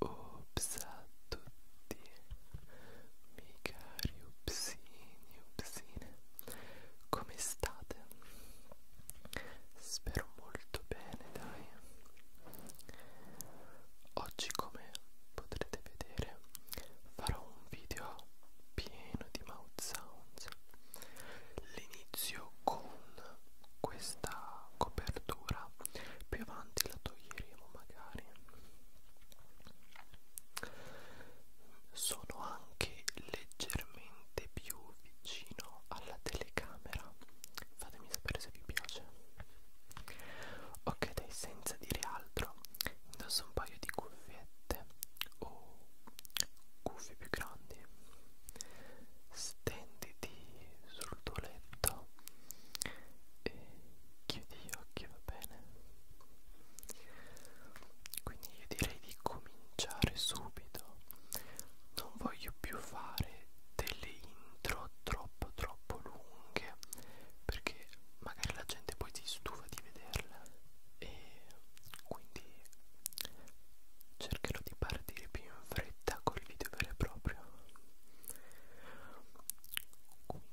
Ops a tutti, miei cari upsini, upsine, come state? Spero molto bene, dai. Oggi come potrete vedere farò un video pieno di mouth sounds l'inizio con questa copertura più avanti la toglieremo magari sono anche leggermente più vicino alla telecamera vado fatemi sapere se vi piace ok dai senza dire altro indosso un paio di cuffiette o cuffie più grandi stenditi sul tuo letto e chiudi gli occhi va bene quindi io direi di cominciare subito non voglio più fare delle intro troppo troppo lunghe perché magari la gente poi si stufa di vederla e quindi cercherò di partire più in fretta col video vero e proprio quindi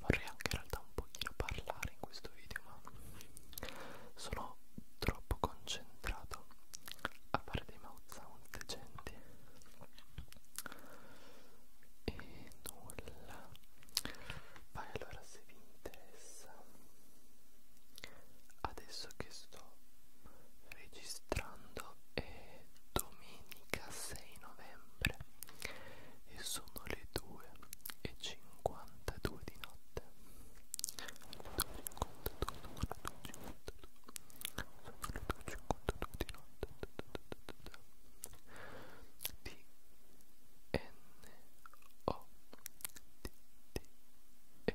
vorrei anche in realtà un pochino parlare in questo video ma sono troppo concentrato a fare dei mouth sound decenti e nulla vai allora se vi interessa adesso che sto registrando registrando è domenica 6 novembre e sono le 2.52 di notte. 2.52 sono le 2.52 sono le 2.52 di notte. T N O T T E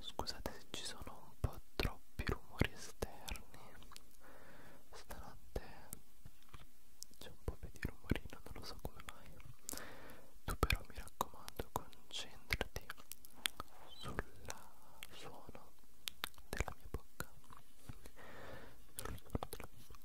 Scusate se ci sono un po' troppi rumori esterni stanotte c'è un po' di rumorino, non lo so come mai fai tu però mi raccomando concentrati sul suono della mia bocca sul suono della mia bocca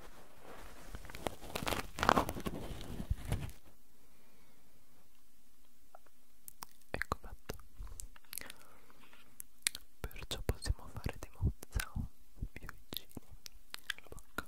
Ecco fatto. Perciò possiamo fare dei mozzao più vicini alla bocca.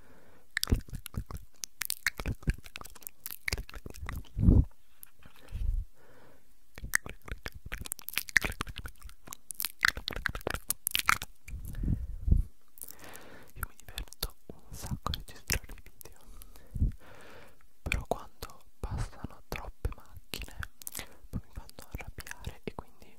Io mi diverto un sacco a registrare i video, però quando passano troppe macchine poi mi fanno arrabbiare e quindi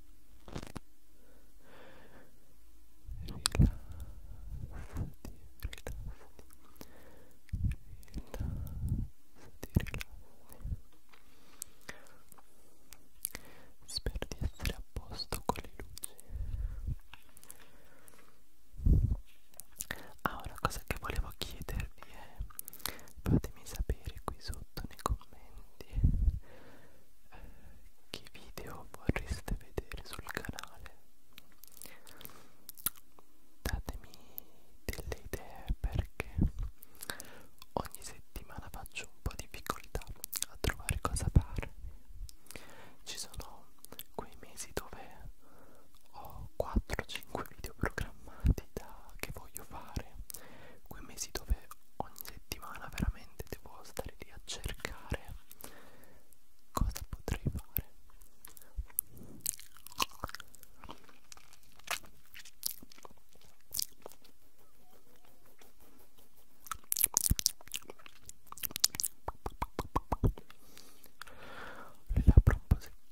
rilassati Spero di essere a posto con le luci Ah, una cosa che volevo chiedervi è Fatemi sapere qui sotto nei commenti che video vorreste vedere sul canale datemi delle idee perché ogni settimana faccio un po' di difficoltà a trovare cosa fare ci sono quei mesi dove ho 4-5 video programmati da, che voglio fare quei mesi dove ogni settimana veramente devo stare lì a cercare cosa potrei fare le labbra un po' secchine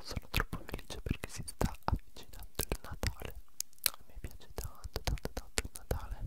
Sono troppo felice perché si sta avvicinando il Natale. A me piace tanto, tanto, tanto il Natale.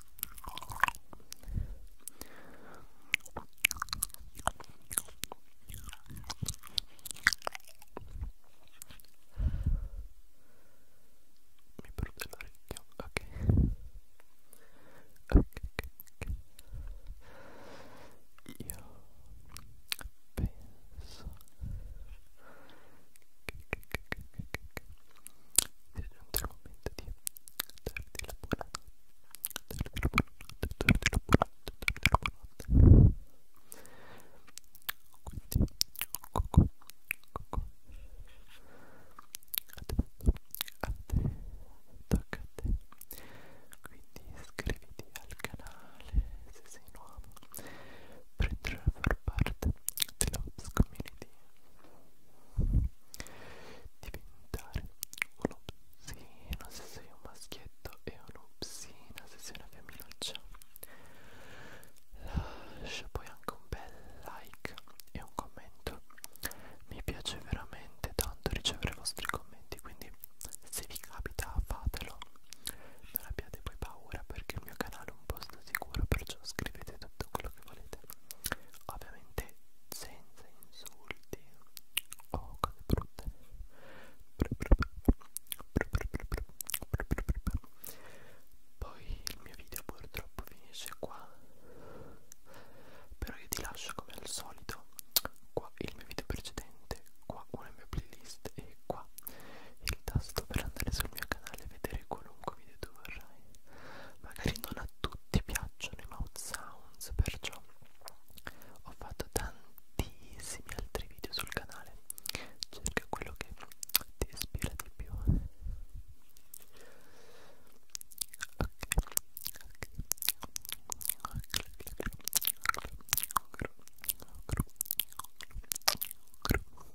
mi perde l'orecchio ok ok ok io penso che, che, che, che, che, che sia giunto il momento di darti la buonanotte, darti la buonanotte, darti la buonanotte, darti la buonanotte. Quindi, coco, coco. Adesso, a te, tocca a te. Quindi iscriviti al canale se sei nuovo per entrare a far parte della community diventare un'obscena se sei un maschietto e un'obscena se sei una femminuccia lascia poi anche un bel like e un commento mi piace veramente tanto ricevere i vostri commenti quindi se vi capita fatelo non abbiate poi paura perché il mio canale è un posto sicuro perciò scrivete tutto quello che volete ovviamente ovviamente senza insulti o oh, cose brutte poi il mio video purtroppo finisce qua però io ti lascio come al solito qua il mio video precedente qua una mia playlist e qua il tasto per andare sul mio canale e vedere qualunque video tu vorrai mai magari non a tutti piacciono i mouth sounds perciò ho fatto tantissimi altri video sul canale cerca quello che ti ispira di più ok ok